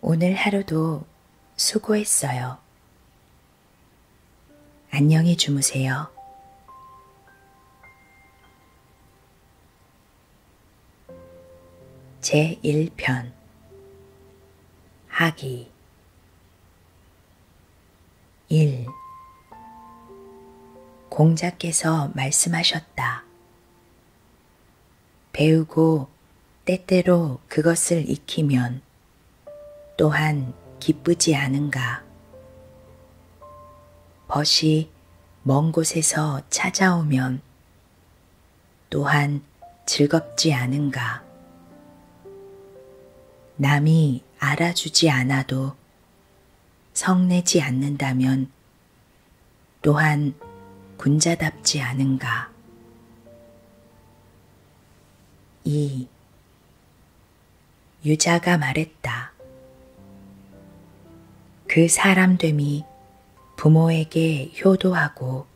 오늘 하루도 수고했어요. 안녕히 주무세요. 제1편 하기 1. 공자께서 말씀하셨다. 배우고 때때로 그것을 익히면 또한 기쁘지 않은가. 벗이 먼 곳에서 찾아오면 또한 즐겁지 않은가. 남이 알아주지 않아도 성내지 않는다면 또한 군자답지 않은가. 2. 유자가 말했다. 그 사람됨이 부모에게 효도하고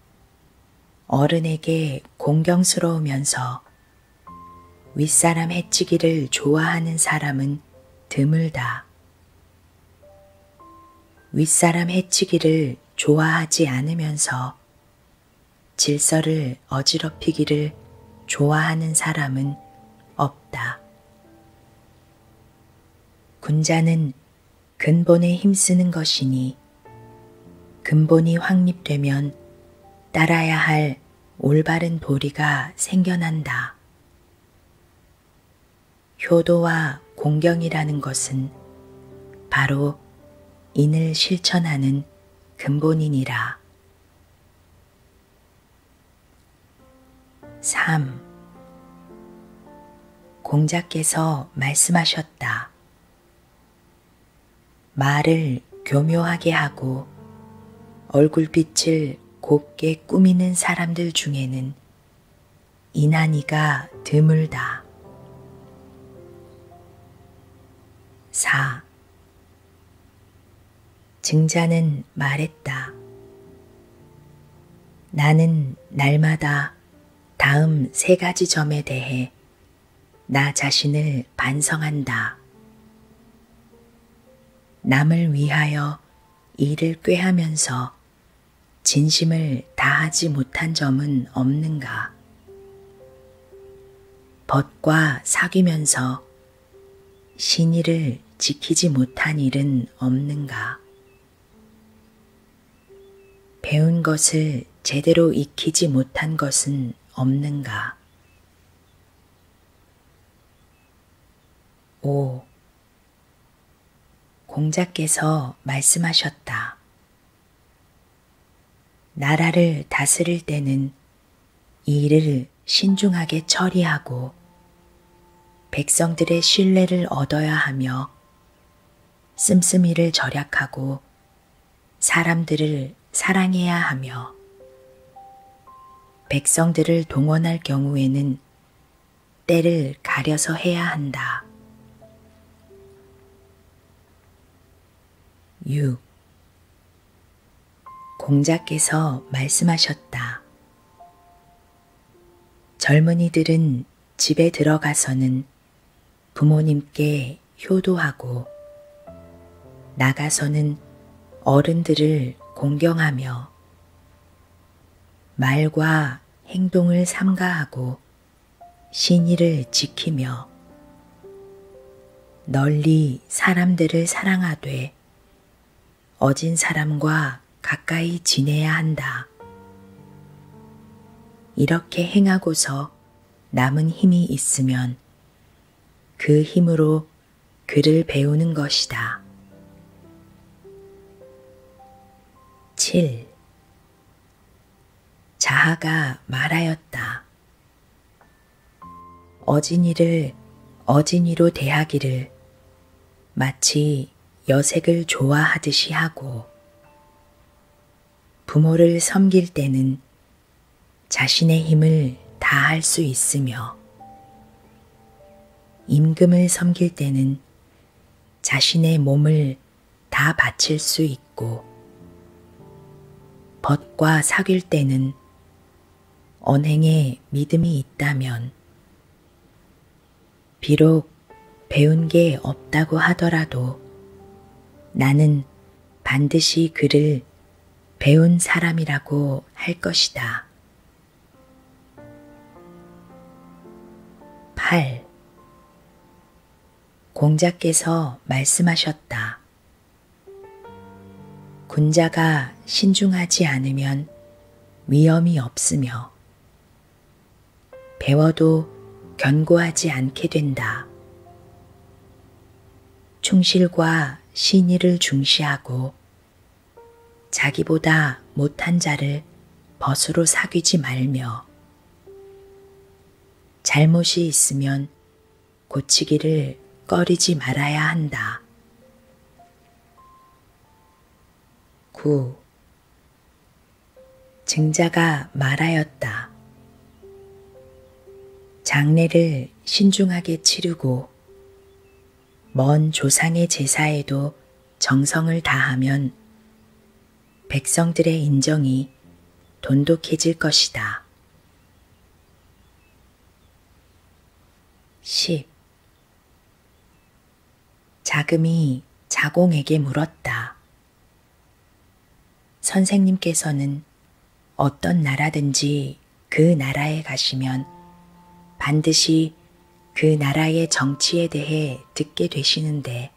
어른에게 공경스러우면서 윗사람 해치기를 좋아하는 사람은 드물다. 윗사람 해치기를 좋아하지 않으면서 질서를 어지럽히기를 좋아하는 사람은 없다. 군자는 근본에 힘쓰는 것이니 근본이 확립되면 따라야 할 올바른 도리가 생겨난다. 효도와 공경이라는 것은 바로 인을 실천하는 근본이니라. 3. 공자께서 말씀하셨다. 말을 교묘하게 하고 얼굴빛을 곱게 꾸미는 사람들 중에는 이난이가 드물다. 4. 증자는 말했다. 나는 날마다 다음 세 가지 점에 대해 나 자신을 반성한다. 남을 위하여 일을 꾀하면서 진심을 다하지 못한 점은 없는가? 벗과 사귀면서 신의를 지키지 못한 일은 없는가? 배운 것을 제대로 익히지 못한 것은 없는가? 5. 공자께서 말씀하셨다. 나라를 다스릴 때는 일을 신중하게 처리하고 백성들의 신뢰를 얻어야 하며 씀씀이를 절약하고 사람들을 사랑해야 하며 백성들을 동원할 경우에는 때를 가려서 해야 한다. 6. 공자께서 말씀하셨다. 젊은이들은 집에 들어가서는 부모님께 효도하고 나가서는 어른들을 공경하며 말과 행동을 삼가하고 신의를 지키며 널리 사람들을 사랑하되 어진 사람과 가까이 지내야 한다. 이렇게 행하고서 남은 힘이 있으면 그 힘으로 그를 배우는 것이다. 7. 자하가 말하였다. 어진이를 어진이로 대하기를 마치 여색을 좋아하듯이 하고 부모를 섬길 때는 자신의 힘을 다할 수 있으며 임금을 섬길 때는 자신의 몸을 다 바칠 수 있고, 벗과 사귈 때는 언행에 믿음이 있다면, 비록 배운 게 없다고 하더라도 나는 반드시 그를 배운 사람이라고 할 것이다. 8. 공자께서 말씀하셨다. 군자가 신중하지 않으면 위험이 없으며 배워도 견고하지 않게 된다. 충실과 신의를 중시하고 자기보다 못한 자를 벗으로 사귀지 말며 잘못이 있으면 고치기를 꺼리지 말아야 한다. 9. 증자가 말하였다. 장례를 신중하게 치르고 먼 조상의 제사에도 정성을 다하면 백성들의 인정이 돈독해질 것이다. 10. 자금이 자공에게 물었다. 선생님께서는 어떤 나라든지 그 나라에 가시면 반드시 그 나라의 정치에 대해 듣게 되시는데,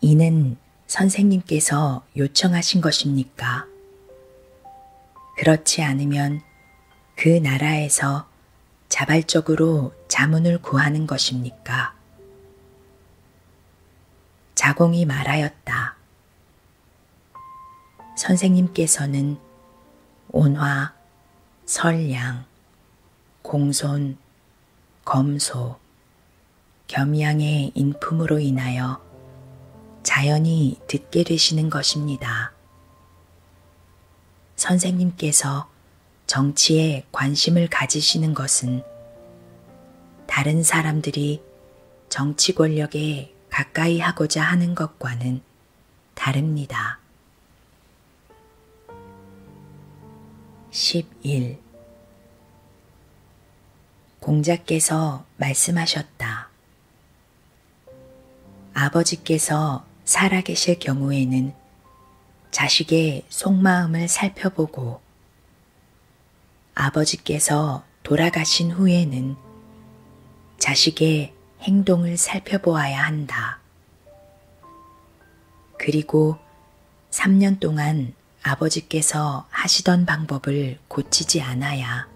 이는 선생님께서 요청하신 것입니까? 그렇지 않으면 그 나라에서 자발적으로 자문을 구하는 것입니까? 자공이 말하였다. 선생님께서는 온화, 설량, 공손, 검소, 겸양의 인품으로 인하여 자연히 듣게 되시는 것입니다. 선생님께서 정치에 관심을 가지시는 것은 다른 사람들이 정치 권력에 가까이 하고자 하는 것과는 다릅니다. 11. 공자께서 말씀하셨다. 아버지께서 살아계실 경우에는 자식의 속마음을 살펴보고 아버지께서 돌아가신 후에는 자식의 행동을 살펴보아야 한다. 그리고 3년 동안 아버지께서 하시던 방법을 고치지 않아야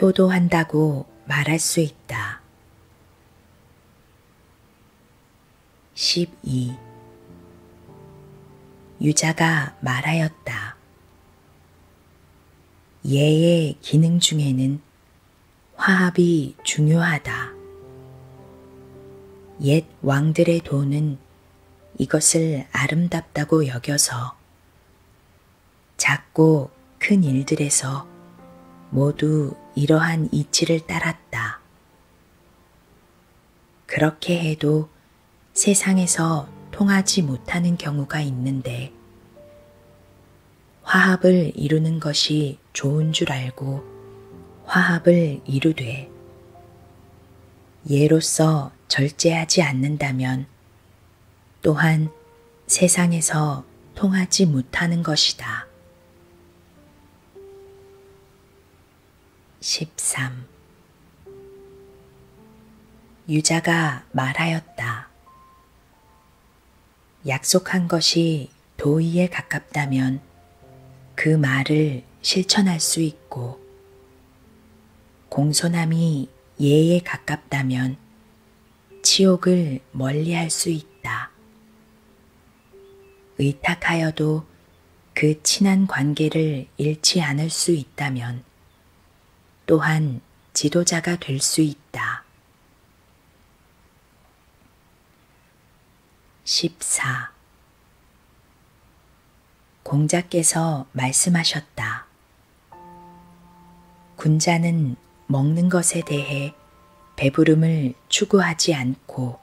효도한다고 말할 수 있다. 12. 유자가 말하였다. 예의 기능 중에는 화합이 중요하다. 옛 왕들의 도는 이것을 아름답다고 여겨서 작고 큰 일들에서 모두 이러한 이치를 따랐다. 그렇게 해도 세상에서 통하지 못하는 경우가 있는데, 화합을 이루는 것이 좋은 줄 알고 화합을 이루되, 예로서 절제하지 않는다면 또한 세상에서 통하지 못하는 것이다. 13. 유자가 말하였다. 약속한 것이 도의에 가깝다면 그 말을 실천할 수 있고, 공손함이 예에 가깝다면 치욕을 멀리 할수 있다. 의탁하여도 그 친한 관계를 잃지 않을 수 있다면 또한 지도자가 될 수 있다. 14. 공자께서 말씀하셨다. 군자는 먹는 것에 대해 배부름을 추구하지 않고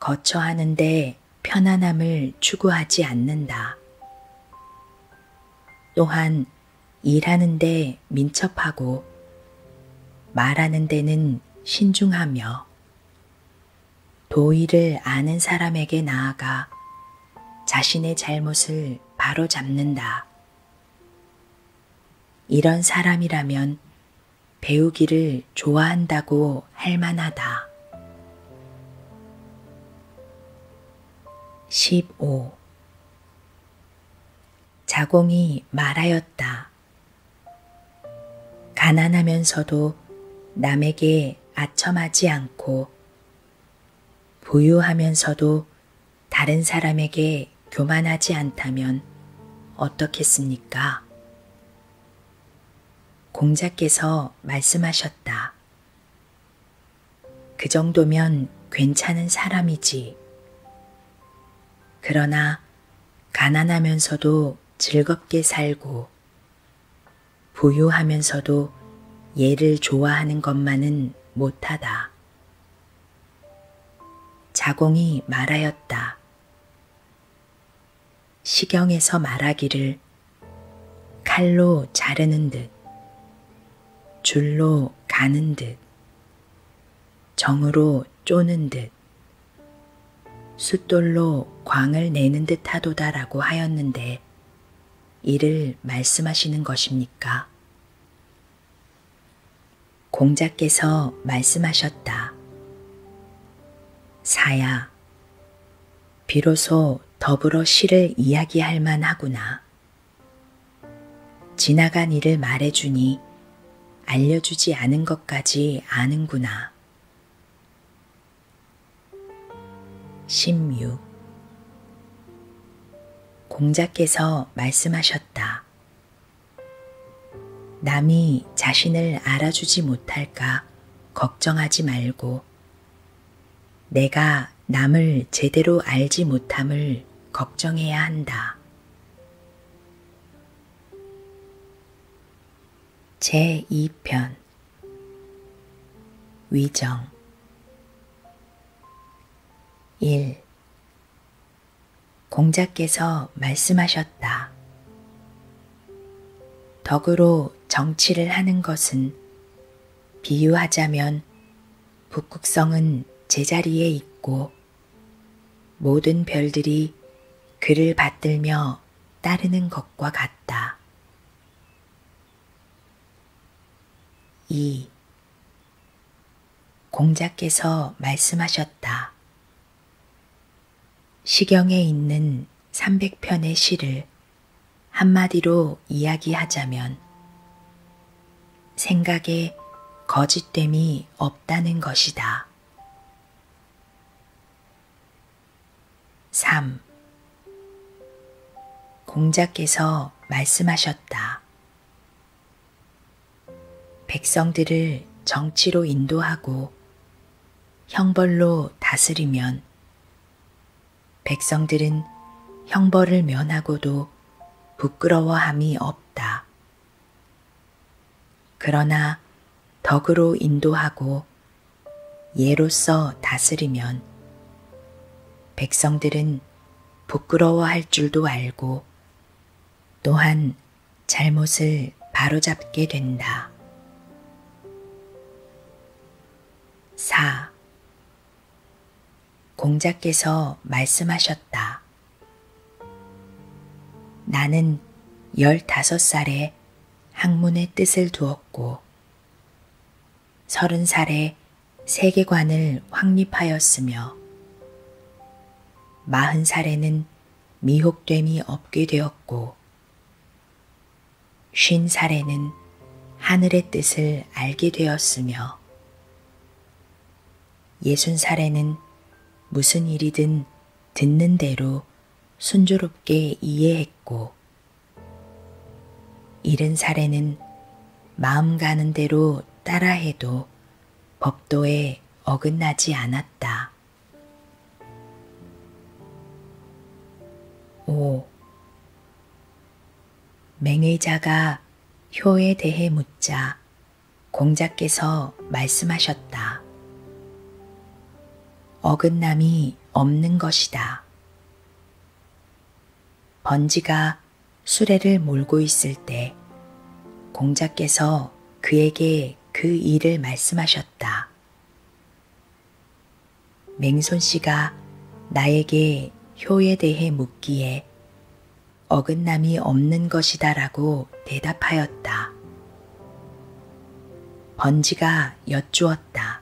거처하는데 편안함을 추구하지 않는다. 또한 일하는데 민첩하고 말하는 데는 신중하며 도의를 아는 사람에게 나아가 자신의 잘못을 바로 잡는다. 이런 사람이라면 배우기를 좋아한다고 할 만하다. 15 자공이 말하였다. 가난하면서도 남에게 아첨하지 않고 부유하면서도 다른 사람에게 교만하지 않다면 어떻겠습니까? 공자께서 말씀하셨다. 그 정도면 괜찮은 사람이지. 그러나 가난하면서도 즐겁게 살고 부유하면서도 얘를 좋아하는 것만은 못하다. 자공이 말하였다. 시경에서 말하기를 칼로 자르는 듯, 줄로 가는 듯, 정으로 쪼는 듯, 숫돌로 광을 내는 듯 하도다라고 하였는데, 이를 말씀하시는 것입니까? 공자께서 말씀하셨다. 사야, 비로소 더불어 시를 이야기할 만하구나. 지나간 일을 말해주니 알려주지 않은 것까지 아는구나. 16. 공자께서 말씀하셨다. 남이 자신을 알아주지 못할까 걱정하지 말고 내가 남을 제대로 알지 못함을 걱정해야 한다. 제2편 위정 1. 공자께서 말씀하셨다. 덕으로 정치를 하는 것은 비유하자면 북극성은 제자리에 있고 모든 별들이 그를 받들며 따르는 것과 같다. 2. 공자께서 말씀하셨다. 시경에 있는 300편의 시를 한마디로 이야기하자면 생각에 거짓됨이 없다는 것이다. 3. 공자께서 말씀하셨다. 백성들을 정치로 인도하고 형벌로 다스리면 백성들은 형벌을 면하고도 부끄러워함이 없다. 그러나 덕으로 인도하고 예로서 다스리면 백성들은 부끄러워할 줄도 알고 또한 잘못을 바로잡게 된다. 4. 공자께서 말씀하셨다. 나는 15살에 학문의 뜻을 두었고 30살에 세계관을 확립하였으며 40살에는 미혹됨이 없게 되었고 쉰 살에는 하늘의 뜻을 알게 되었으며 예순 살에는 무슨 일이든 듣는 대로 순조롭게 이해했고 일흔 살에는 마음 가는 대로 따라해도 법도에 어긋나지 않았다. 5. 맹의자가 효에 대해 묻자 공자께서 말씀하셨다. 어긋남이 없는 것이다. 번지가 수레를 몰고 있을 때 공자께서 그에게 그 일을 말씀하셨다. 맹손 씨가 나에게 효에 대해 묻기에 어긋남이 없는 것이다 라고 대답하였다. 번지가 여쭈었다.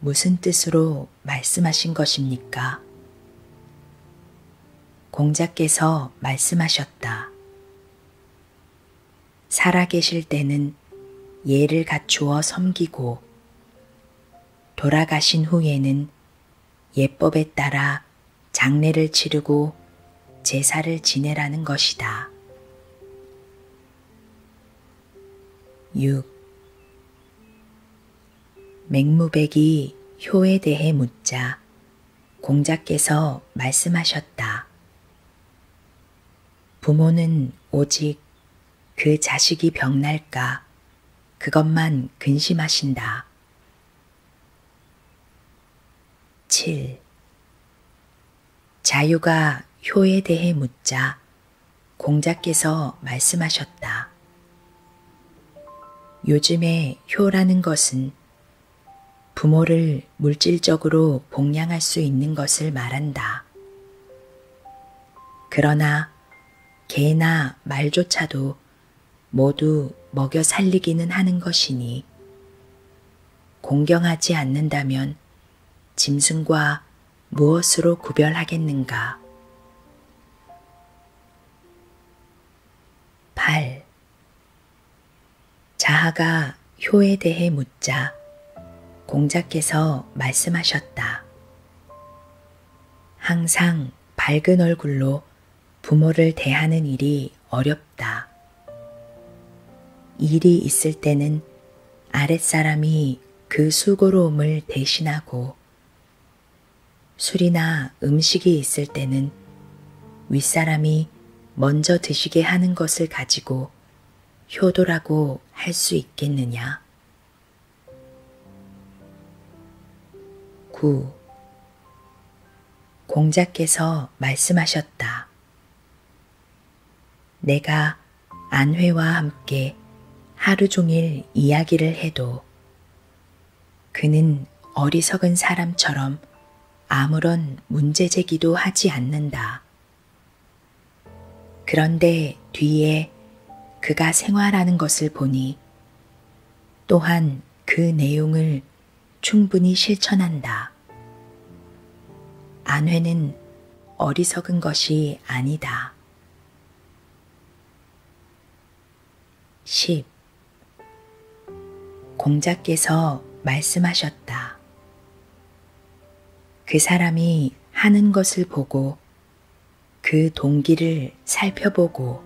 무슨 뜻으로 말씀하신 것입니까? 공자께서 말씀하셨다. 살아계실 때는 예를 갖추어 섬기고 돌아가신 후에는 예법에 따라 장례를 치르고 제사를 지내라는 것이다. 6. 맹무백이 효에 대해 묻자 공자께서 말씀하셨다. 부모는 오직 그 자식이 병날까 그것만 근심하신다. 7. 자유가 효에 대해 묻자 공자께서 말씀하셨다. 요즘에 효라는 것은 부모를 물질적으로 봉양할 수 있는 것을 말한다. 있다. 그러나 개나 말조차도 모두 먹여 살리기는 하는 것이니 공경하지 않는다면 짐승과 무엇으로 구별하겠는가? 8. 자하가 효에 대해 묻자 공자께서 말씀하셨다. 항상 밝은 얼굴로 부모를 대하는 일이 어렵다. 일이 있을 때는 아랫사람이 그 수고로움을 대신하고 술이나 음식이 있을 때는 윗사람이 먼저 드시게 하는 것을 가지고 효도라고 할 수 있겠느냐? 9. 공자께서 말씀하셨다. 내가 안회와 함께 하루 종일 이야기를 해도 그는 어리석은 사람처럼 아무런 문제 제기도 하지 않는다. 그런데 뒤에 그가 생활하는 것을 보니 또한 그 내용을 충분히 실천한다. 안회는 어리석은 것이 아니다. 10. 공자께서 말씀하셨다. 그 사람이 하는 것을 보고 그 동기를 살펴보고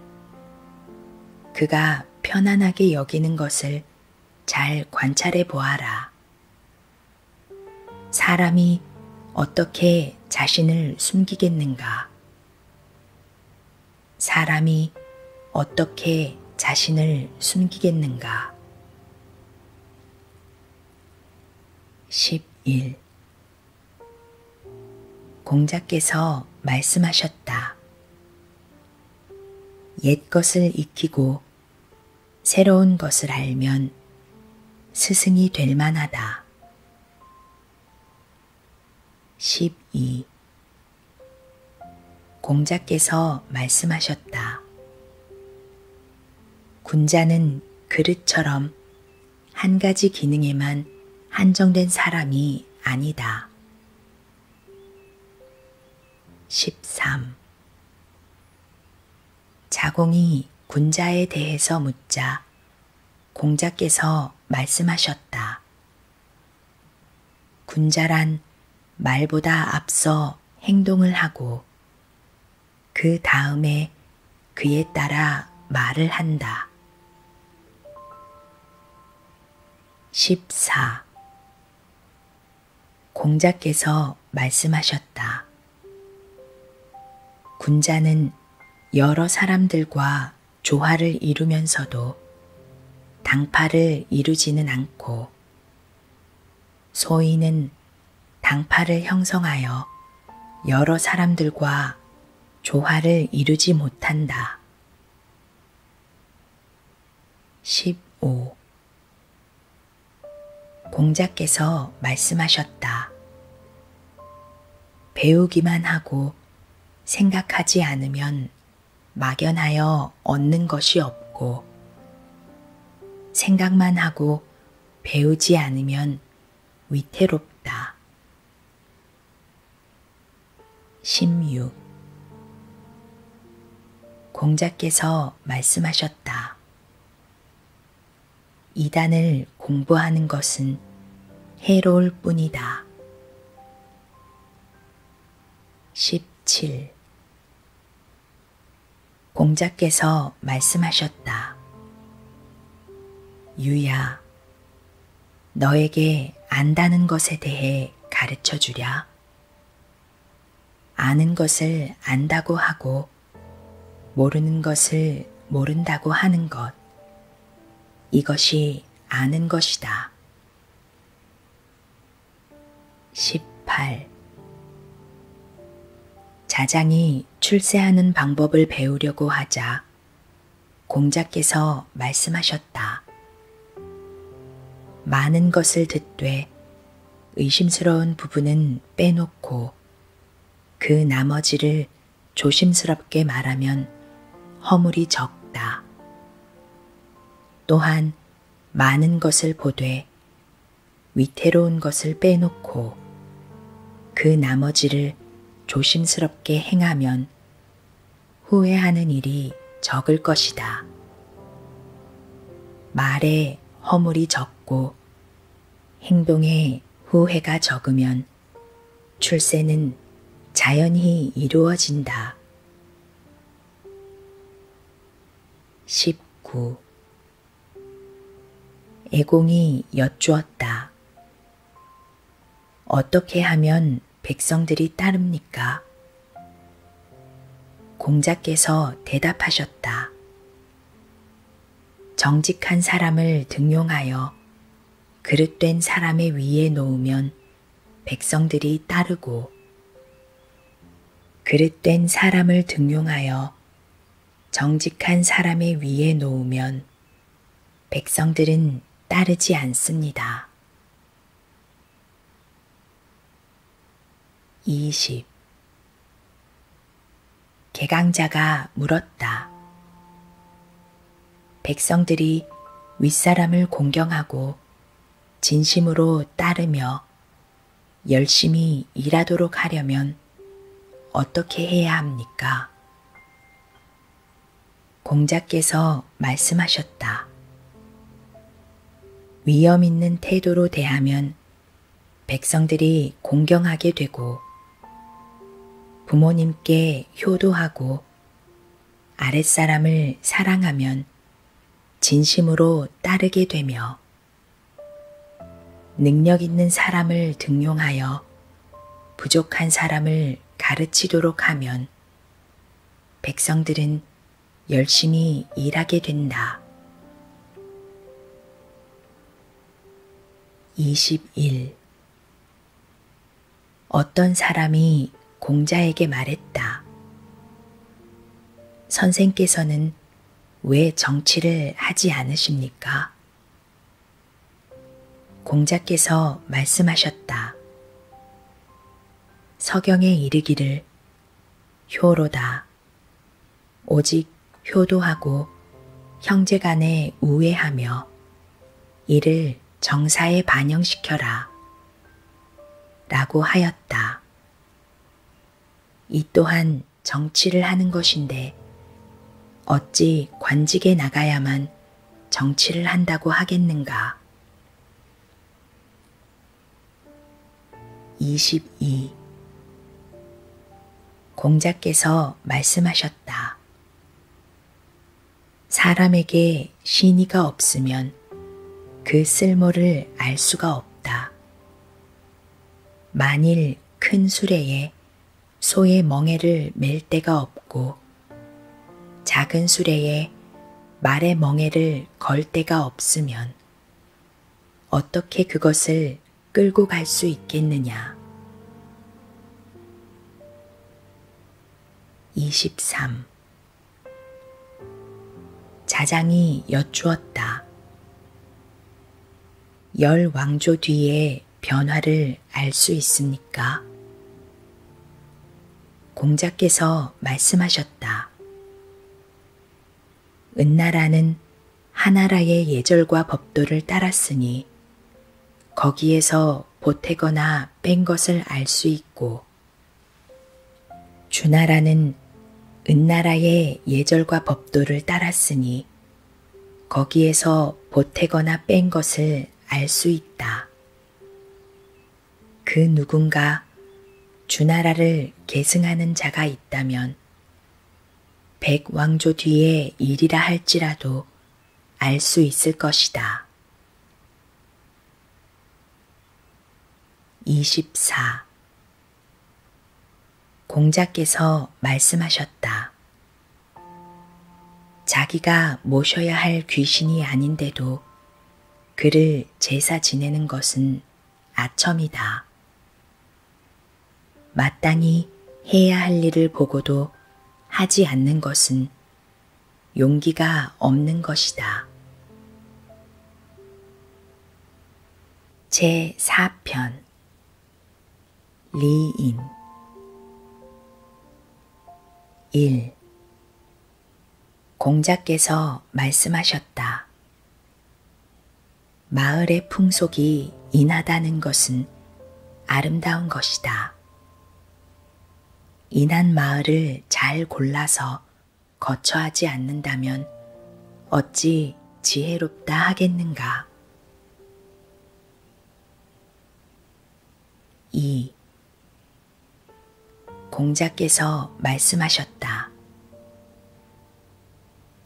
그가 편안하게 여기는 것을 잘 관찰해 보아라. 사람이 어떻게 자신을 숨기겠는가? 사람이 어떻게 자신을 숨기겠는가? 11. 공자께서 말씀하셨다. 옛 것을 익히고 새로운 것을 알면 스승이 될 만하다. 12. 공자께서 말씀하셨다. 군자는 그릇처럼 한 가지 기능에만 한정된 사람이 아니다. 13. 자공이 군자에 대해서 묻자 공자께서 말씀하셨다. 군자란 말보다 앞서 행동을 하고 그 다음에 그에 따라 말을 한다. 14. 공자께서 말씀하셨다. 군자는 여러 사람들과 조화를 이루면서도 당파를 이루지는 않고 소인은 당파를 형성하여 여러 사람들과 조화를 이루지 못한다. 15. 공자께서 말씀하셨다. 배우기만 하고 생각하지 않으면 막연하여 얻는 것이 없고, 생각만 하고 배우지 않으면 위태롭다. 16. 공자께서 말씀하셨다. 이단을 공부하는 것은 해로울 뿐이다. 17. 공자께서 말씀하셨다. 유야, 너에게 안다는 것에 대해 가르쳐 주랴. 아는 것을 안다고 하고, 모르는 것을 모른다고 하는 것. 이것이 아는 것이다. 18. 자장이 아들이 출세하는 방법을 배우려고 하자 공자께서 말씀하셨다. 많은 것을 듣되 의심스러운 부분은 빼놓고 그 나머지를 조심스럽게 말하면 허물이 적다. 또한 많은 것을 보되 위태로운 것을 빼놓고 그 나머지를 조심스럽게 행하면 후회하는 일이 적을 것이다. 말에 허물이 적고 행동에 후회가 적으면 출세는 자연히 이루어진다. 19. 애공이 여쭈었다. 어떻게 하면 백성들이 따릅니까? 공자께서 대답하셨다. 정직한 사람을 등용하여 그릇된 사람의 위에 놓으면 백성들이 따르고 그릇된 사람을 등용하여 정직한 사람의 위에 놓으면 백성들은 따르지 않습니다. 20. 개강자가 물었다. 백성들이 윗사람을 공경하고 진심으로 따르며 열심히 일하도록 하려면 어떻게 해야 합니까? 공자께서 말씀하셨다. 위험 있는 태도로 대하면 백성들이 공경하게 되고 부모님께 효도하고 아랫사람을 사랑하면 진심으로 따르게 되며 능력 있는 사람을 등용하여 부족한 사람을 가르치도록 하면 백성들은 열심히 일하게 된다. 21. 어떤 사람이 공자에게 말했다. 선생께서는 왜 정치를 하지 않으십니까? 공자께서 말씀하셨다. 서경에 이르기를 효로다. 오직 효도하고 형제 간에 우애하며 이를 정사에 반영시켜라. 라고 하였다. 이 또한 정치를 하는 것인데 어찌 관직에 나가야만 정치를 한다고 하겠는가. 22. 공자께서 말씀하셨다. 사람에게 신의가 없으면 그 쓸모를 알 수가 없다. 만일 큰 수레에 소의 멍에를 맬 데가 없고 작은 수레에 말의 멍에를 걸 데가 없으면 어떻게 그것을 끌고 갈 수 있겠느냐. 23. 자장이 여쭈었다. 열 왕조 뒤에 변화를 알 수 있습니까? 공자께서 말씀하셨다. 은나라는 하나라의 예절과 법도를 따랐으니 거기에서 보태거나 뺀 것을 알 수 있고 주나라는 은나라의 예절과 법도를 따랐으니 거기에서 보태거나 뺀 것을 알 수 있다. 그 누군가 주나라를 계승하는 자가 있다면 백왕조 뒤에 일이라 할지라도 알 수 있을 것이다. 24. 공자께서 말씀하셨다. 자기가 모셔야 할 귀신이 아닌데도 그를 제사 지내는 것은 아첨이다. 마땅히 해야 할 일을 보고도 하지 않는 것은 용기가 없는 것이다. 제 4편 리인 1. 공자께서 말씀하셨다. 마을의 풍속이 인하다는 것은 아름다운 것이다. 인한 마을을 잘 골라서 거처하지 않는다면 어찌 지혜롭다 하겠는가? 2. 공자께서 말씀하셨다.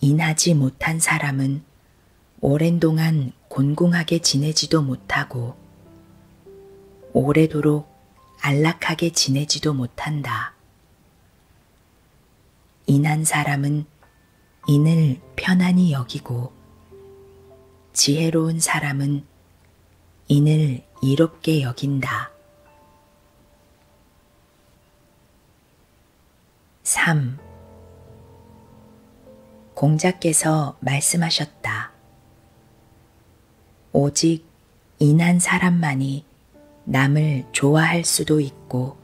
인하지 못한 사람은 오랜 동안 곤궁하게 지내지도 못하고 오래도록 안락하게 지내지도 못한다. 인한 사람은 인을 편안히 여기고 지혜로운 사람은 인을 이롭게 여긴다. 3. 공자께서 말씀하셨다. 오직 인한 사람만이 남을 좋아할 수도 있고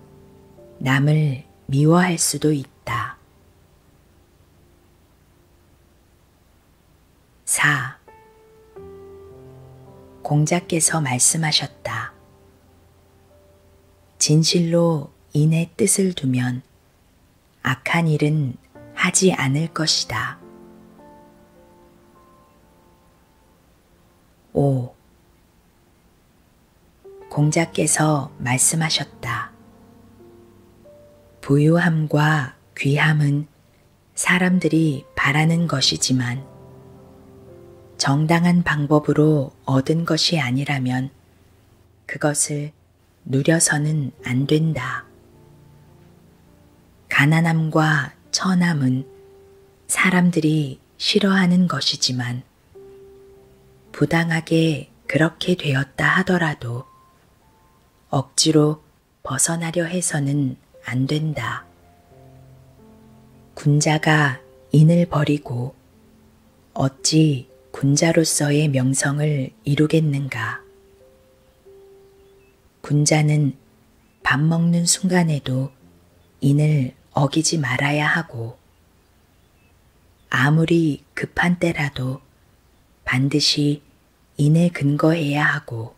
남을 미워할 수도 있다. 4. 공자께서 말씀하셨다. 진실로 인의 뜻을 두면 악한 일은 하지 않을 것이다. 5. 공자께서 말씀하셨다. 부유함과 귀함은 사람들이 바라는 것이지만 정당한 방법으로 얻은 것이 아니라면 그것을 누려서는 안 된다. 가난함과 천함은 사람들이 싫어하는 것이지만 부당하게 그렇게 되었다 하더라도 억지로 벗어나려 해서는 안 된다. 군자가 인을 버리고 어찌 군자로서의 명성을 이루겠는가. 군자는 밥 먹는 순간에도 인을 어기지 말아야 하고 아무리 급한 때라도 반드시 인에 근거해야 하고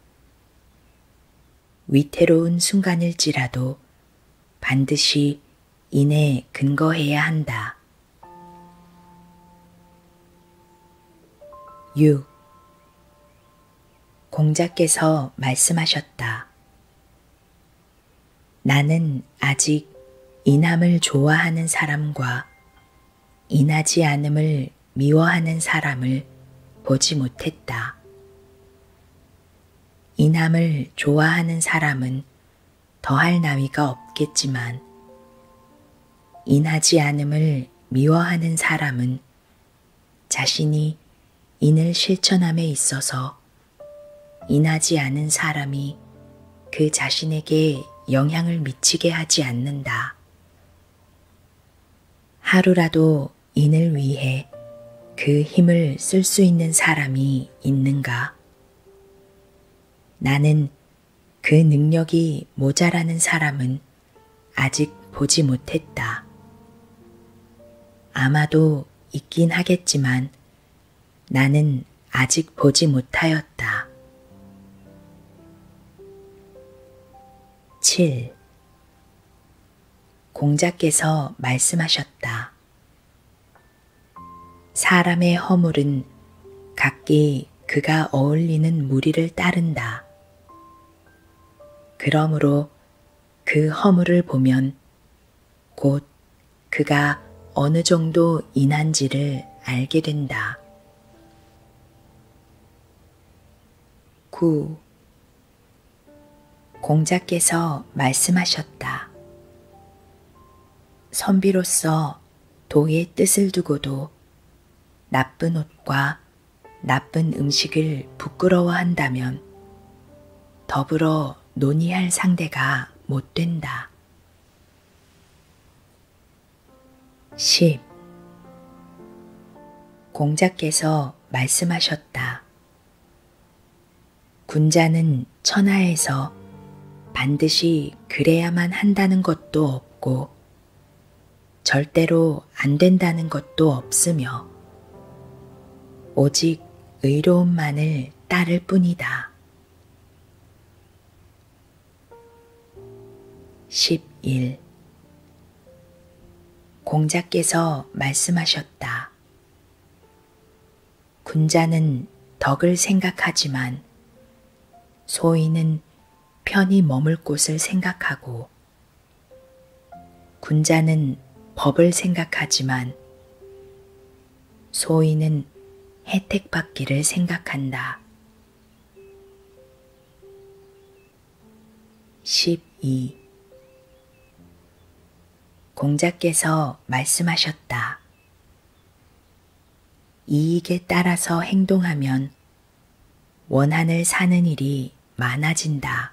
위태로운 순간일지라도 반드시 인에 근거해야 한다. 6. 공자께서 말씀하셨다. 나는 아직 인함을 좋아하는 사람과 인하지 않음을 미워하는 사람을 보지 못했다. 인함을 좋아하는 사람은 더할 나위가 없겠지만, 인하지 않음을 미워하는 사람은 자신이 인을 실천함에 있어서 인하지 않은 사람이 그 자신에게 영향을 미치게 하지 않는다. 하루라도 인을 위해 그 힘을 쓸 수 있는 사람이 있는가? 나는 그 능력이 모자라는 사람은 아직 보지 못했다. 아마도 있긴 하겠지만 나는 아직 보지 못하였다. 7. 공자께서 말씀하셨다. 사람의 허물은 각기 그가 어울리는 무리를 따른다. 그러므로 그 허물을 보면 곧 그가 어느 정도 인한지를 알게 된다. 9. 공자께서 말씀하셨다. 선비로서 도의 뜻을 두고도 나쁜 옷과 나쁜 음식을 부끄러워한다면 더불어 논의할 상대가 못 된다. 십 공자께서 말씀하셨다. 군자는 천하에서 반드시 그래야만 한다는 것도 없고 절대로 안 된다는 것도 없으며 오직 의로움만을 따를 뿐이다. 11. 공자께서 말씀하셨다. 군자는 덕을 생각하지만 소인은 편히 머물 곳을 생각하고 군자는 법을 생각하지만 소인은 혜택받기를 생각한다. 12. 공자께서 말씀하셨다. 이익에 따라서 행동하면 원한을 사는 일이 많아진다.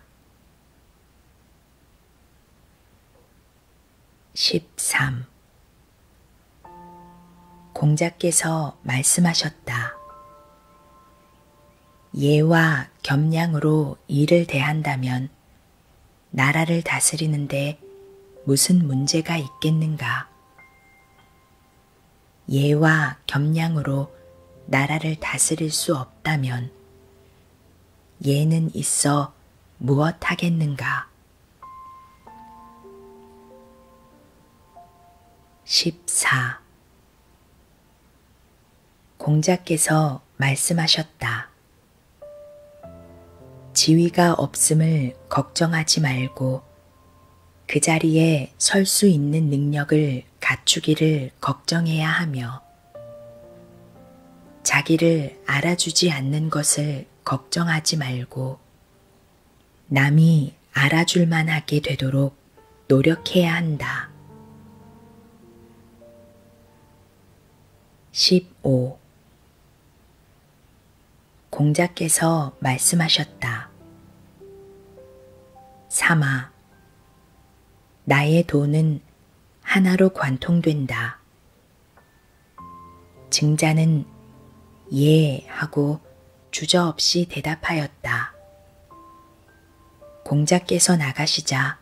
13. 공자께서 말씀하셨다. 예와 겸양으로 일을 대한다면 나라를 다스리는데 무슨 문제가 있겠는가? 예와 겸양으로 나라를 다스릴 수 없다면 예는 있어 무엇하겠는가? 14 공자께서 말씀하셨다. 지위가 없음을 걱정하지 말고 그 자리에 설 수 있는 능력을 갖추기를 걱정해야 하며 자기를 알아주지 않는 것을 걱정하지 말고 남이 알아줄만 하게 되도록 노력해야 한다. 15. 공자께서 말씀하셨다. 삼아. 나의 돈은 하나로 관통된다. 증자는 예 하고 주저없이 대답하였다. 공자께서 나가시자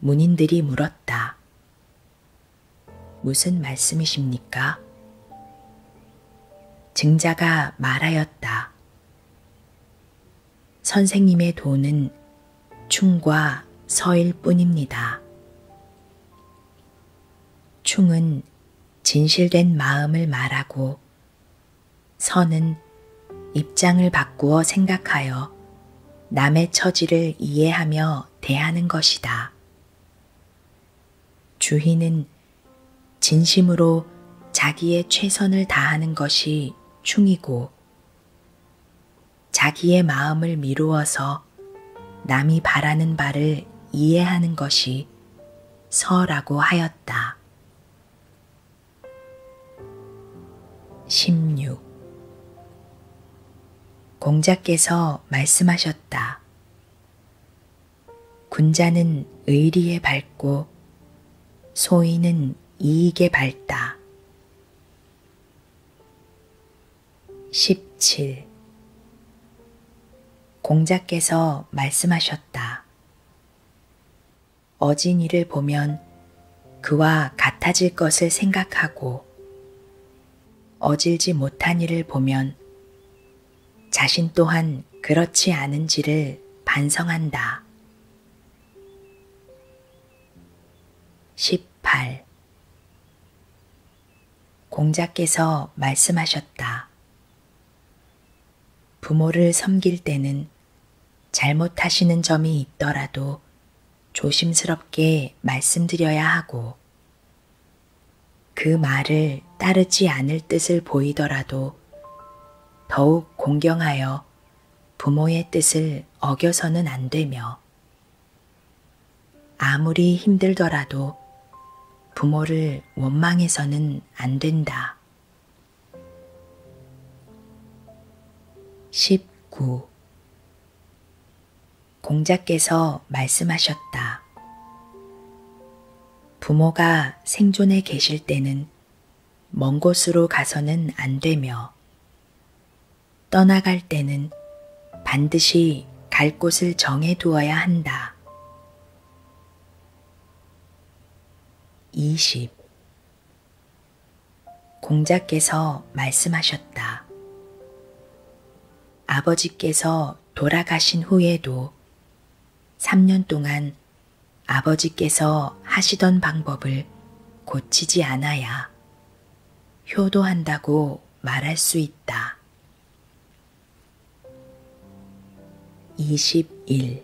문인들이 물었다. 무슨 말씀이십니까? 증자가 말하였다. 선생님의 도는 충과 서일 뿐입니다. 충은 진실된 마음을 말하고 선은 입장을 바꾸어 생각하여 남의 처지를 이해하며 대하는 것이다. 주희는 진심으로 자기의 최선을 다하는 것이 충이고 자기의 마음을 미루어서 있어 남이 바라는 바를 이해하는 것이 서라고 하였다. 16. 공자께서 말씀하셨다. 군자는 의리에 밝고 소인은 이익에 밝다. 17 공자께서 말씀하셨다. 어진이를 보면 그와 같아질 것을 생각하고 어질지 못한 이를 보면 자신 또한 그렇지 않은지를 반성한다. 18 공자께서 말씀하셨다. 부모를 섬길 때는 잘못하시는 점이 있더라도 조심스럽게 말씀드려야 하고, 그 말을 따르지 않을 뜻을 보이더라도 더욱 공경하여 부모의 뜻을 어겨서는 안 되며, 아무리 힘들더라도 부모를 원망해서는 안 된다. 19. 공자께서 말씀하셨다. 부모가 생존해 계실 때는 먼 곳으로 가서는 안 되며, 떠나갈 때는 반드시 갈 곳을 정해 두어야 한다. 20. 공자께서 말씀하셨다. 아버지께서 돌아가신 후에도 3년 동안 아버지께서 하시던 방법을 고치지 않아야 효도한다고 말할 수 있다. 21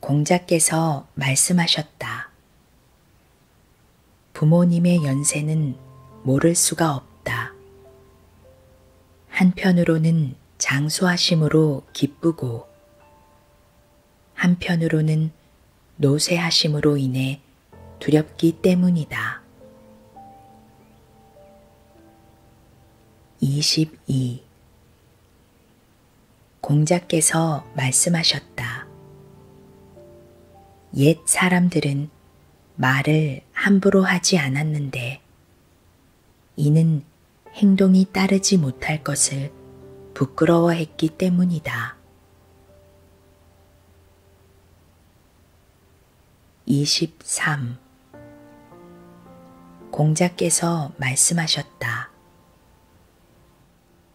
공자께서 말씀하셨다. 부모님의 연세는 모를 수가 없다. 한편으로는 장수하심으로 기쁘고 한편으로는 노쇠하심으로 인해 두렵기 때문이다. 22. 공자께서 말씀하셨다. 옛 사람들은 말을 함부로 하지 않았는데, 이는 행동이 따르지 못할 것을 부끄러워했기 때문이다. 23 공자께서 말씀하셨다.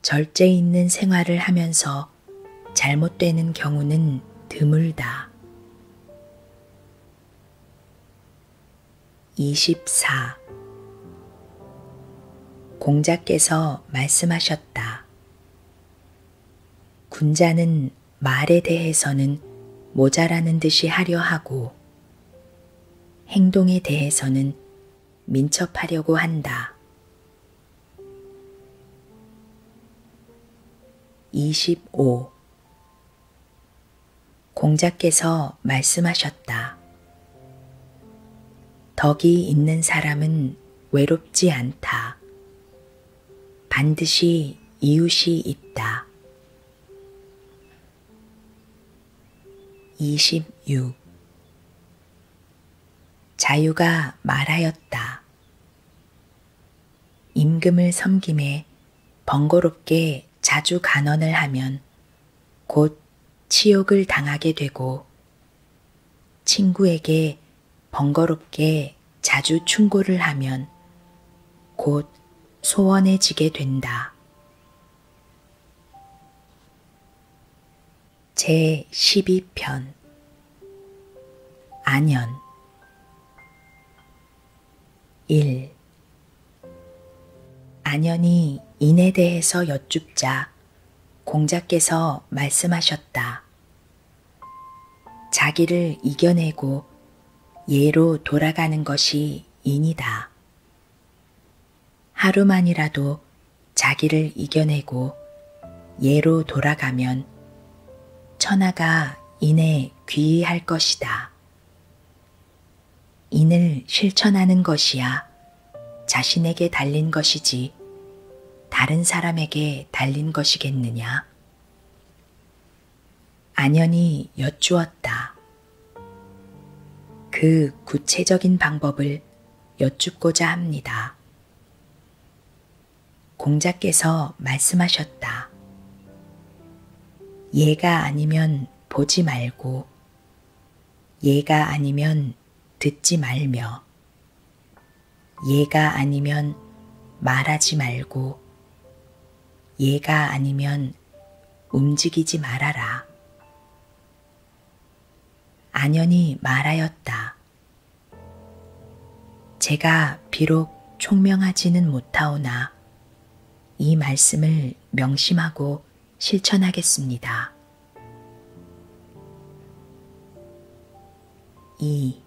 절제 있는 생활을 하면서 잘못되는 경우는 드물다. 24 공자께서 말씀하셨다. 군자는 말에 대해서는 모자라는 듯이 하려 하고 행동에 대해서는 민첩하려고 한다. 25. 공자께서 말씀하셨다. 덕이 있는 사람은 외롭지 않다. 반드시 이웃이 있다. 26. 자유가 말하였다. 임금을 섬김에 번거롭게 자주 간언을 하면 곧 치욕을 당하게 되고 친구에게 번거롭게 자주 충고를 하면 곧 소원해지게 된다. 제 12편 안연 1. 안연이 인에 대해서 여쭙자 공자께서 말씀하셨다. 자기를 이겨내고 예로 돌아가는 것이 인이다. 하루만이라도 자기를 이겨내고 예로 돌아가면 천하가 인에 귀의할 것이다. 인을 실천하는 것이야 자신에게 달린 것이지 다른 사람에게 달린 것이겠느냐? 안연히 여쭈었다. 그 구체적인 방법을 여쭙고자 합니다. 공자께서 말씀하셨다. 예가 아니면 보지 말고, 예가 아니면 듣지 말며, 얘가 아니면 말하지 말고, 얘가 아니면 움직이지 말아라. 안연히 말하였다. 제가 비록 총명하지는 못하오나 이 말씀을 명심하고 실천하겠습니다. 2.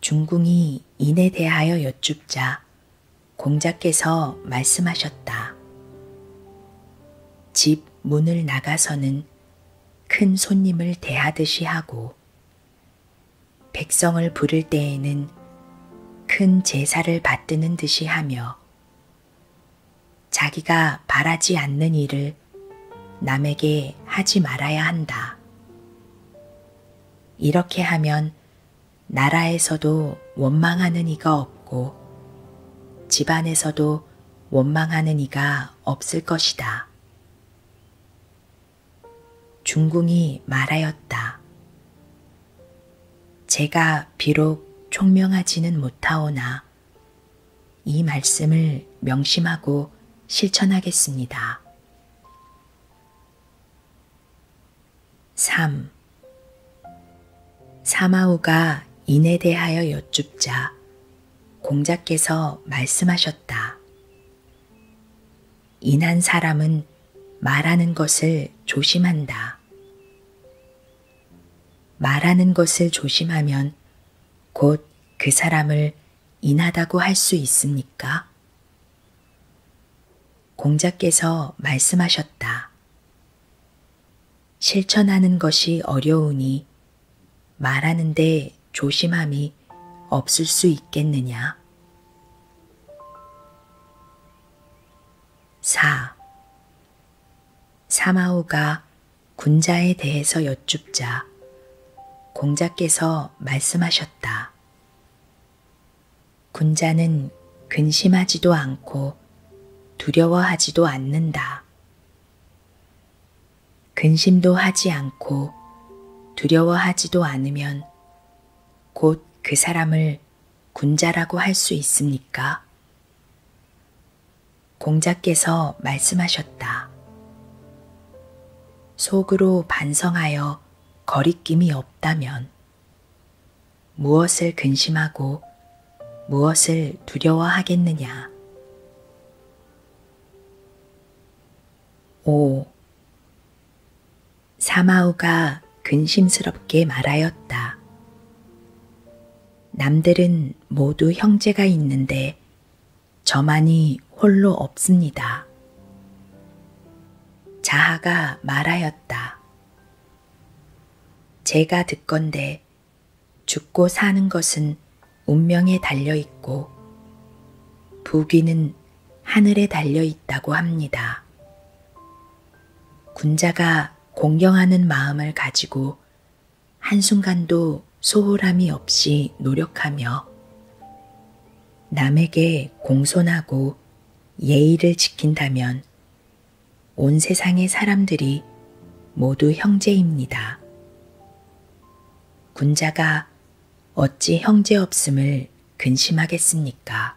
중궁이 인에 대하여 여쭙자 공자께서 말씀하셨다. 집 문을 나가서는 큰 손님을 대하듯이 하고 백성을 부를 때에는 큰 제사를 받드는 듯이 하며 자기가 바라지 않는 일을 말을 남에게 하지 말아야 한다. 이렇게 하면 나라에서도 원망하는 이가 없고 집안에서도 원망하는 이가 없을 것이다. 중궁이 말하였다. 제가 비록 총명하지는 못하오나 것이다. 이 말씀을 명심하고 실천하겠습니다. 3. 사마오가 인에 대하여 여쭙자 공자께서 말씀하셨다. 인한 사람은 말하는 것을 조심한다. 말하는 것을 조심하면 곧 그 사람을 인하다고 할 수 있습니까? 공자께서 말씀하셨다. 실천하는 것이 어려우니 말하는데 조심함이 없을 수 있겠느냐. 4. 사마오가 군자에 대해서 여쭙자 공자께서 말씀하셨다. 군자는 근심하지도 않고 두려워하지도 않는다. 근심도 하지 않고 두려워하지도 않으면 곧 그 사람을 군자라고 할 수 있습니까? 공자께서 말씀하셨다. 속으로 반성하여 거리낌이 없다면 무엇을 근심하고 무엇을 두려워하겠느냐. 5. 사마우가 근심스럽게 말하였다. 남들은 모두 형제가 있는데 저만이 홀로 없습니다. 자하가 말하였다. 제가 듣건데 죽고 사는 것은 운명에 달려 있고 부귀는 하늘에 달려 있다고 합니다. 군자가 공경하는 마음을 가지고 한순간도 소홀함이 없이 노력하며 남에게 공손하고 예의를 지킨다면 온 세상의 사람들이 모두 형제입니다. 군자가 어찌 형제 없음을 근심하겠습니까?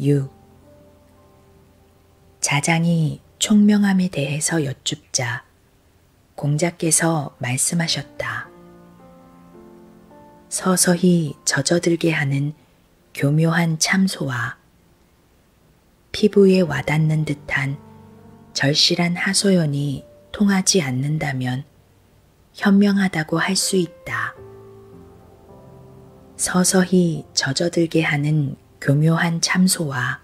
6. 자장이 총명함에 대해서 여쭙자 공자께서 말씀하셨다. 서서히 젖어들게 하는 교묘한 참소와 피부에 와닿는 듯한 절실한 하소연이 통하지 않는다면 현명하다고 할 수 있다. 서서히 젖어들게 하는 교묘한 참소와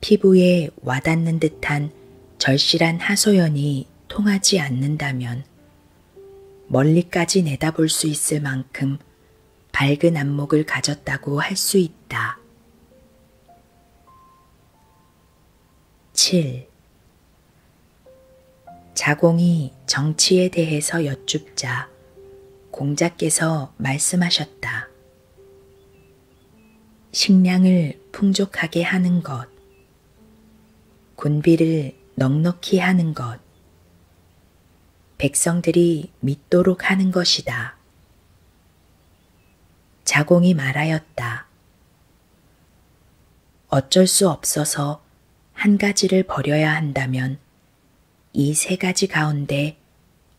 피부에 와닿는 듯한 절실한 하소연이 통하지 않는다면 멀리까지 내다볼 수 있을 만큼 밝은 안목을 가졌다고 할 수 있다. 7. 자공이 정치에 대해서 여쭙자 공자께서 말씀하셨다. 식량을 풍족하게 하는 것, 군비를 넉넉히 하는 것, 백성들이 믿도록 하는 것이다. 자공이 말하였다. 어쩔 수 없어서 한 가지를 버려야 한다면 이세 가지 가운데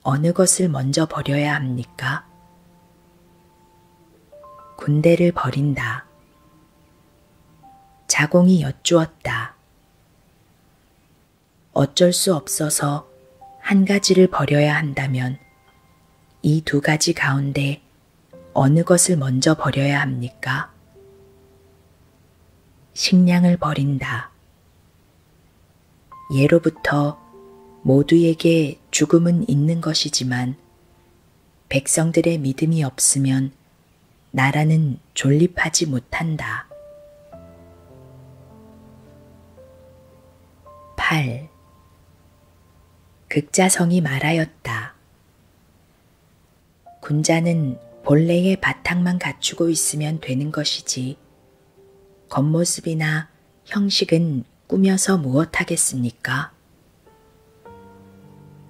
어느 것을 먼저 버려야 합니까? 군대를 버린다. 자공이 여쭈었다. 어쩔 수 없어서 한 가지를 버려야 한다면 이 두 가지 가운데 어느 것을 먼저 버려야 합니까? 식량을 버린다. 예로부터 모두에게 죽음은 있는 것이지만 백성들의 믿음이 없으면 나라는 존립하지 못한다. 8. 극자성이 말하였다. 군자는 본래의 바탕만 갖추고 있으면 되는 것이지 겉모습이나 형식은 꾸며서 무엇하겠습니까?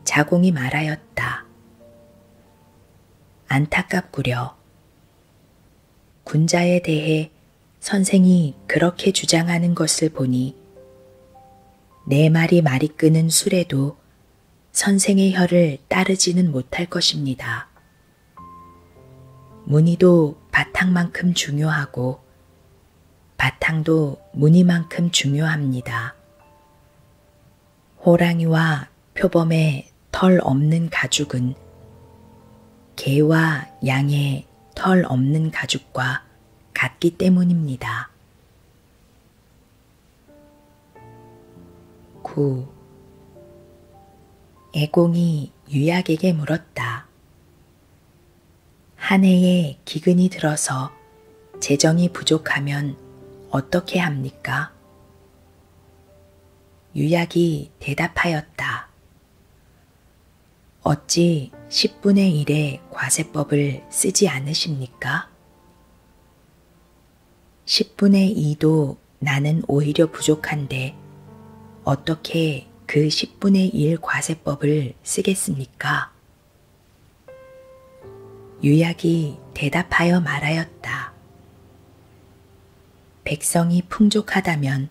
자공이 말하였다. 안타깝구려. 군자에 대해 선생이 그렇게 주장하는 것을 보니 내 말이 말이 끄는 술에도 선생의 혀를 따르지는 못할 것입니다. 무늬도 바탕만큼 중요하고 바탕도 무늬만큼 중요합니다. 호랑이와 표범의 털 없는 가죽은 개와 양의 털 없는 가죽과 같기 때문입니다. 9. 애공이 유약에게 물었다. 한 해에 기근이 들어서 재정이 부족하면 어떻게 합니까? 유약이 대답하였다. 어찌 10분의 1의 과세법을 쓰지 않으십니까? 10분의 2도 나는 오히려 부족한데 어떻게 그 10분의 1 과세법을 쓰겠습니까? 유약이 대답하여 말하였다. 백성이 풍족하다면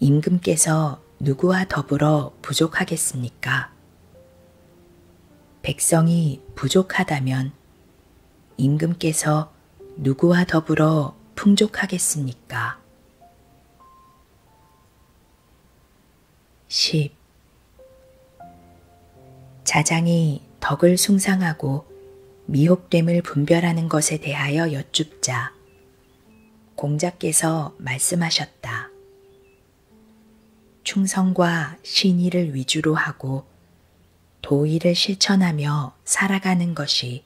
임금께서 누구와 더불어 부족하겠습니까? 백성이 부족하다면 임금께서 누구와 더불어 풍족하겠습니까? 10. 자장이 덕을 숭상하고 미혹됨을 분별하는 것에 대하여 여쭙자. 공자께서 말씀하셨다. 충성과 신의를 위주로 하고 도의를 실천하며 살아가는 것이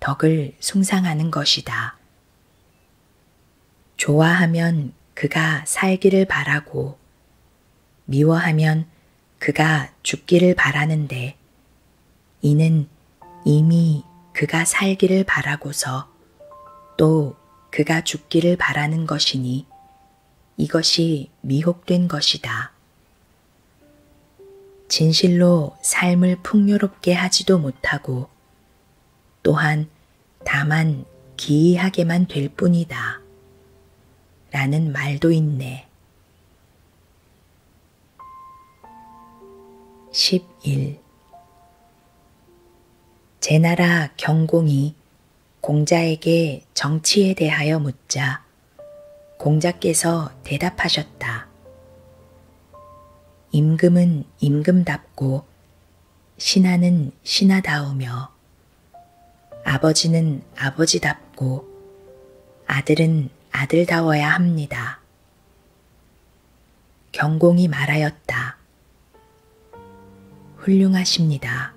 덕을 숭상하는 것이다. 좋아하면 그가 살기를 바라고, 미워하면 그가 죽기를 바라는데, 이는 이미 그가 살기를 바라고서 또 그가 죽기를 바라는 것이니 이것이 미혹된 것이다. 진실로 삶을 풍요롭게 하지도 못하고 또한 다만 기이하게만 될 뿐이다. 라는 말도 있네. 11. 제나라 경공이 공자에게 정치에 대하여 묻자 공자께서 대답하셨다. 임금은 임금답고 신하는 신하다우며 아버지는 아버지답고 아들은 아들다워야 합니다. 경공이 말하였다. 훌륭하십니다.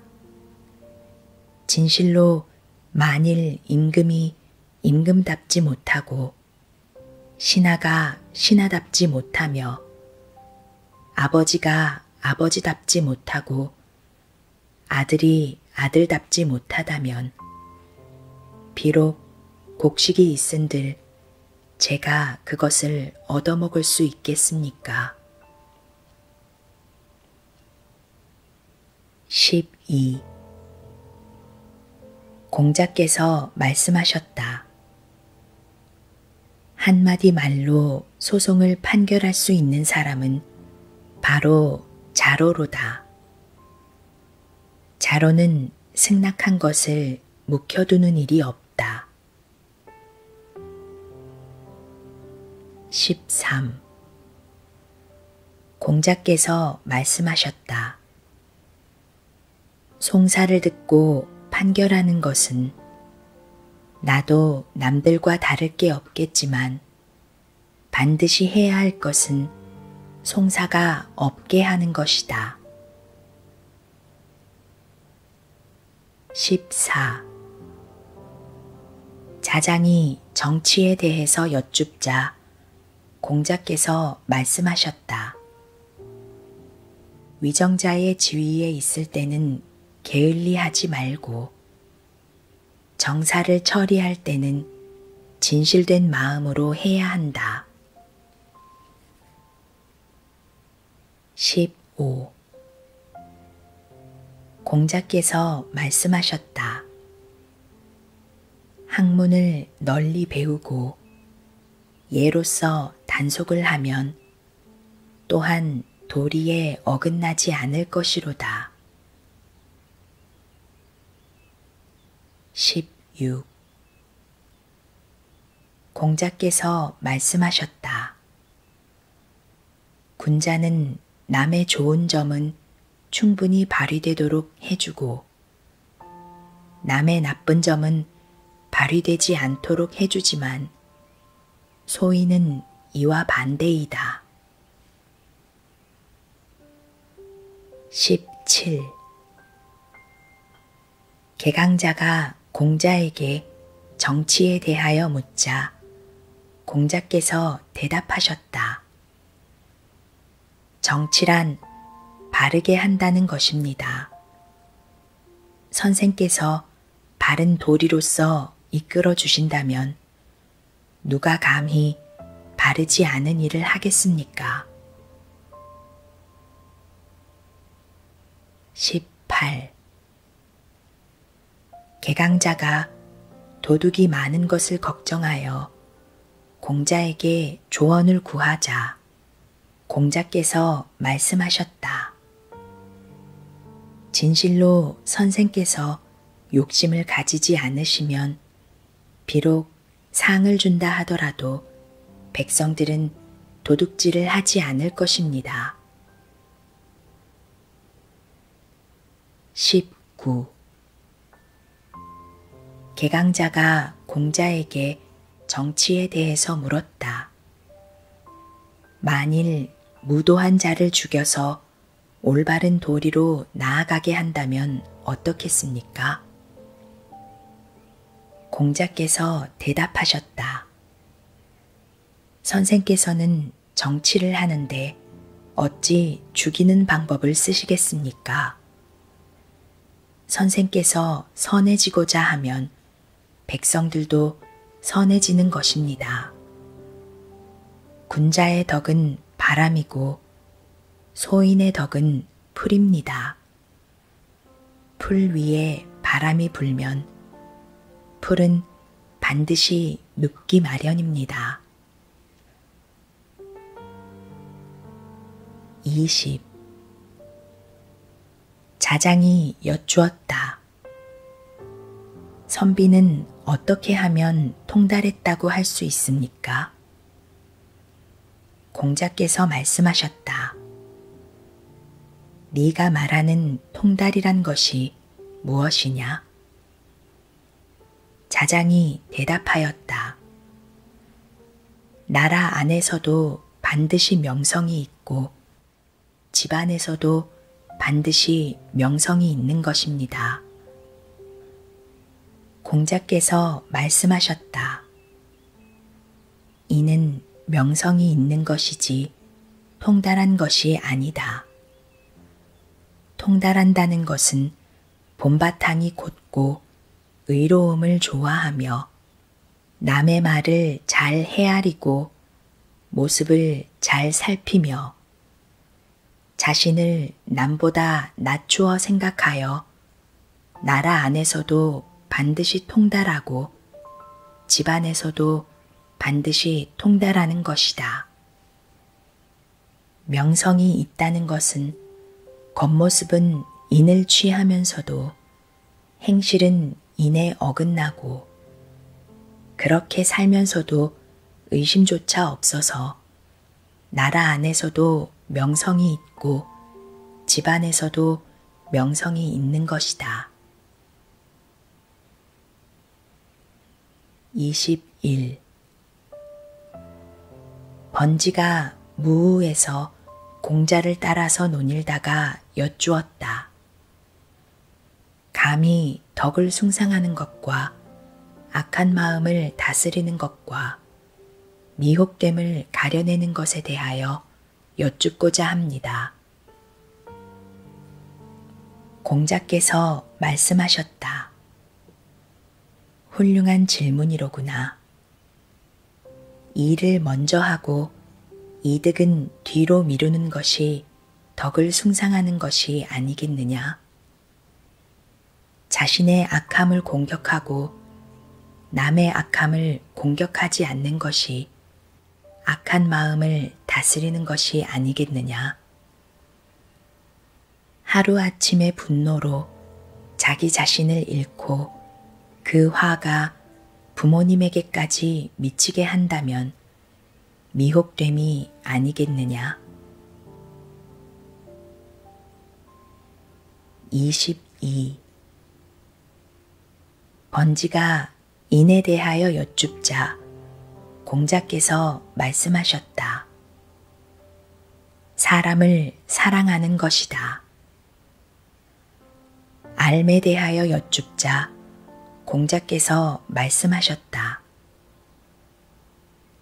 진실로 만일 임금이 임금답지 못하고 신하가 신하답지 못하며 아버지가 아버지답지 못하고 아들이 아들답지 못하다면 비록 곡식이 있은들 제가 그것을 얻어먹을 수 있겠습니까? 12. 공자께서 말씀하셨다. 한마디 말로 소송을 판결할 수 있는 사람은 바로 자로로다. 자로는 승낙한 것을 묵혀두는 일이 없다. 13. 공자께서 말씀하셨다. 송사를 듣고 판결하는 것은 나도 남들과 다를 게 없겠지만 반드시 해야 할 것은 송사가 없게 하는 것이다. 14. 자장이 정치에 대해서 여쭙자 공자께서 말씀하셨다. 위정자의 지위에 있을 때는 게을리하지 말고 정사를 처리할 때는 진실된 마음으로 해야 한다. 15. 공자께서 말씀하셨다. 학문을 널리 배우고 예로서 단속을 하면 또한 도리에 어긋나지 않을 것이로다. 16. 공자께서 말씀하셨다. 군자는 남의 좋은 점은 충분히 발휘되도록 해주고, 남의 나쁜 점은 발휘되지 않도록 해주지만, 소위는 이와 반대이다. 17. 개강자가 공자에게 정치에 대하여 묻자 공자께서 대답하셨다. 정치란 바르게 한다는 것입니다. 선생께서 바른 도리로서 이끌어 주신다면 누가 감히 바르지 않은 일을 하겠습니까? 18. 개강자가 도둑이 많은 것을 걱정하여 공자에게 조언을 구하자 공자께서 말씀하셨다. 진실로 선생께서 욕심을 가지지 않으시면 비록 상을 준다 하더라도 백성들은 도둑질을 하지 않을 것입니다. 19. 개강자가 공자에게 정치에 대해서 물었다. 만일 무도한 자를 죽여서 올바른 도리로 나아가게 한다면 어떻겠습니까? 공자께서 대답하셨다. 선생께서는 정치를 하는데 어찌 죽이는 방법을 쓰시겠습니까? 선생께서 선해지고자 하면 백성들도 선해지는 것입니다. 군자의 덕은 바람이고 소인의 덕은 풀입니다. 풀 위에 바람이 불면 풀은 반드시 눕기 마련입니다. 20 자장이 여쭈었다. 선비는 어떻게 하면 통달했다고 할 수 있습니까? 공자께서 말씀하셨다. 네가 말하는 통달이란 것이 무엇이냐? 자장이 대답하였다. 나라 안에서도 반드시 명성이 있고 집안에서도 반드시 명성이 있는 것입니다. 공자께서 말씀하셨다. 이는 명성이 있는 것이지 통달한 것이 아니다. 통달한다는 것은 봄바탕이 곧고 의로움을 좋아하며 남의 말을 잘 헤아리고 모습을 잘 살피며 자신을 남보다 낮추어 생각하여 나라 안에서도 반드시 통달하고 집안에서도 반드시 통달하는 것이다. 명성이 있다는 것은 겉모습은 인을 취하면서도 행실은 인에 어긋나고 그렇게 살면서도 의심조차 없어서 나라 안에서도 명성이 있고 집안에서도 명성이 있는 것이다. 21. 번지가 무우에서 공자를 따라서 논일다가 여쭈었다. 감히 덕을 숭상하는 것과 악한 마음을 다스리는 것과 미혹됨을 가려내는 것에 대하여 여쭙고자 합니다. 공자께서 말씀하셨다. 훌륭한 질문이로구나. 일을 먼저 하고 이득은 뒤로 미루는 것이 덕을 숭상하는 것이 아니겠느냐. 자신의 악함을 공격하고 남의 악함을 공격하지 않는 것이 악한 마음을 다스리는 것이 아니겠느냐. 하루아침의 분노로 자기 자신을 잃고 그 화가 부모님에게까지 미치게 한다면 미혹됨이 아니겠느냐. 22. 번지가 인에 대하여 여쭙자 공자께서 말씀하셨다. 사람을 사랑하는 것이다. 알매 대하여 여쭙자 공자께서 말씀하셨다.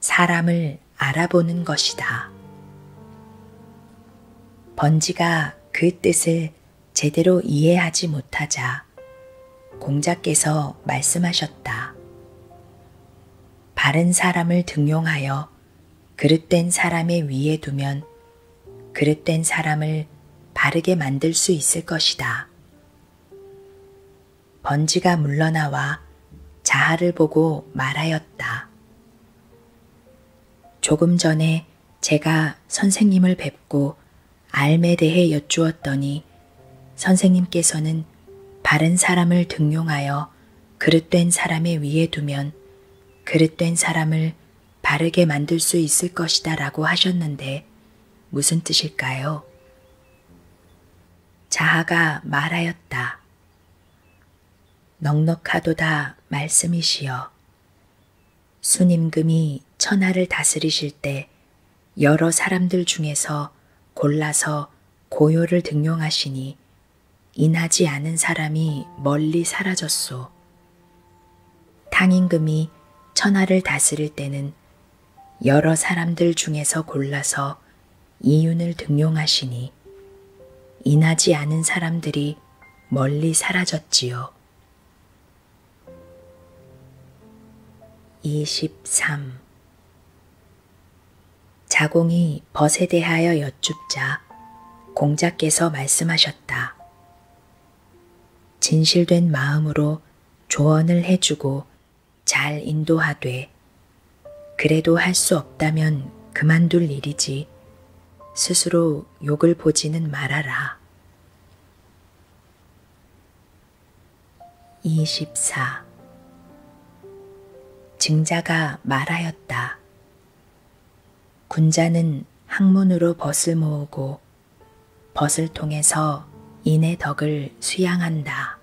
사람을 알아보는 것이다. 번지가 그 뜻을 제대로 이해하지 못하자 공자께서 말씀하셨다. 바른 사람을 등용하여 그릇된 사람의 위에 두면 그릇된 사람을 바르게 만들 수 있을 것이다. 번지가 물러나와 자하를 보고 말하였다. 조금 전에 제가 선생님을 뵙고 알에 대해 여쭈었더니 선생님께서는 바른 사람을 등용하여 던져 그릇된 사람의 위에 두면 그릇된 사람을 바르게 만들 수 있을 것이다 라고 하셨는데 무슨 뜻일까요? 자하가 말하였다. 넉넉하도다 말씀이시여. 순임금이 천하를 다스리실 때 여러 사람들 중에서 골라서 고요를 등용하시니 인하지 않은 사람이 멀리 사라졌소. 당임금이 천하를 다스릴 때는 여러 사람들 중에서 골라서 이윤을 등용하시니 인하지 않은 사람들이 멀리 사라졌지요. 23. 자공이 벗에 대하여 여쭙자 공자께서 말씀하셨다. 진실된 마음으로 조언을 해주고 잘 인도하되 그래도 할 수 없다면 그만둘 일이지 스스로 욕을 보지는 말아라. 24. 증자가 말하였다. 군자는 학문으로 벗을 모으고 벗을 통해서 인의 덕을 수양한다.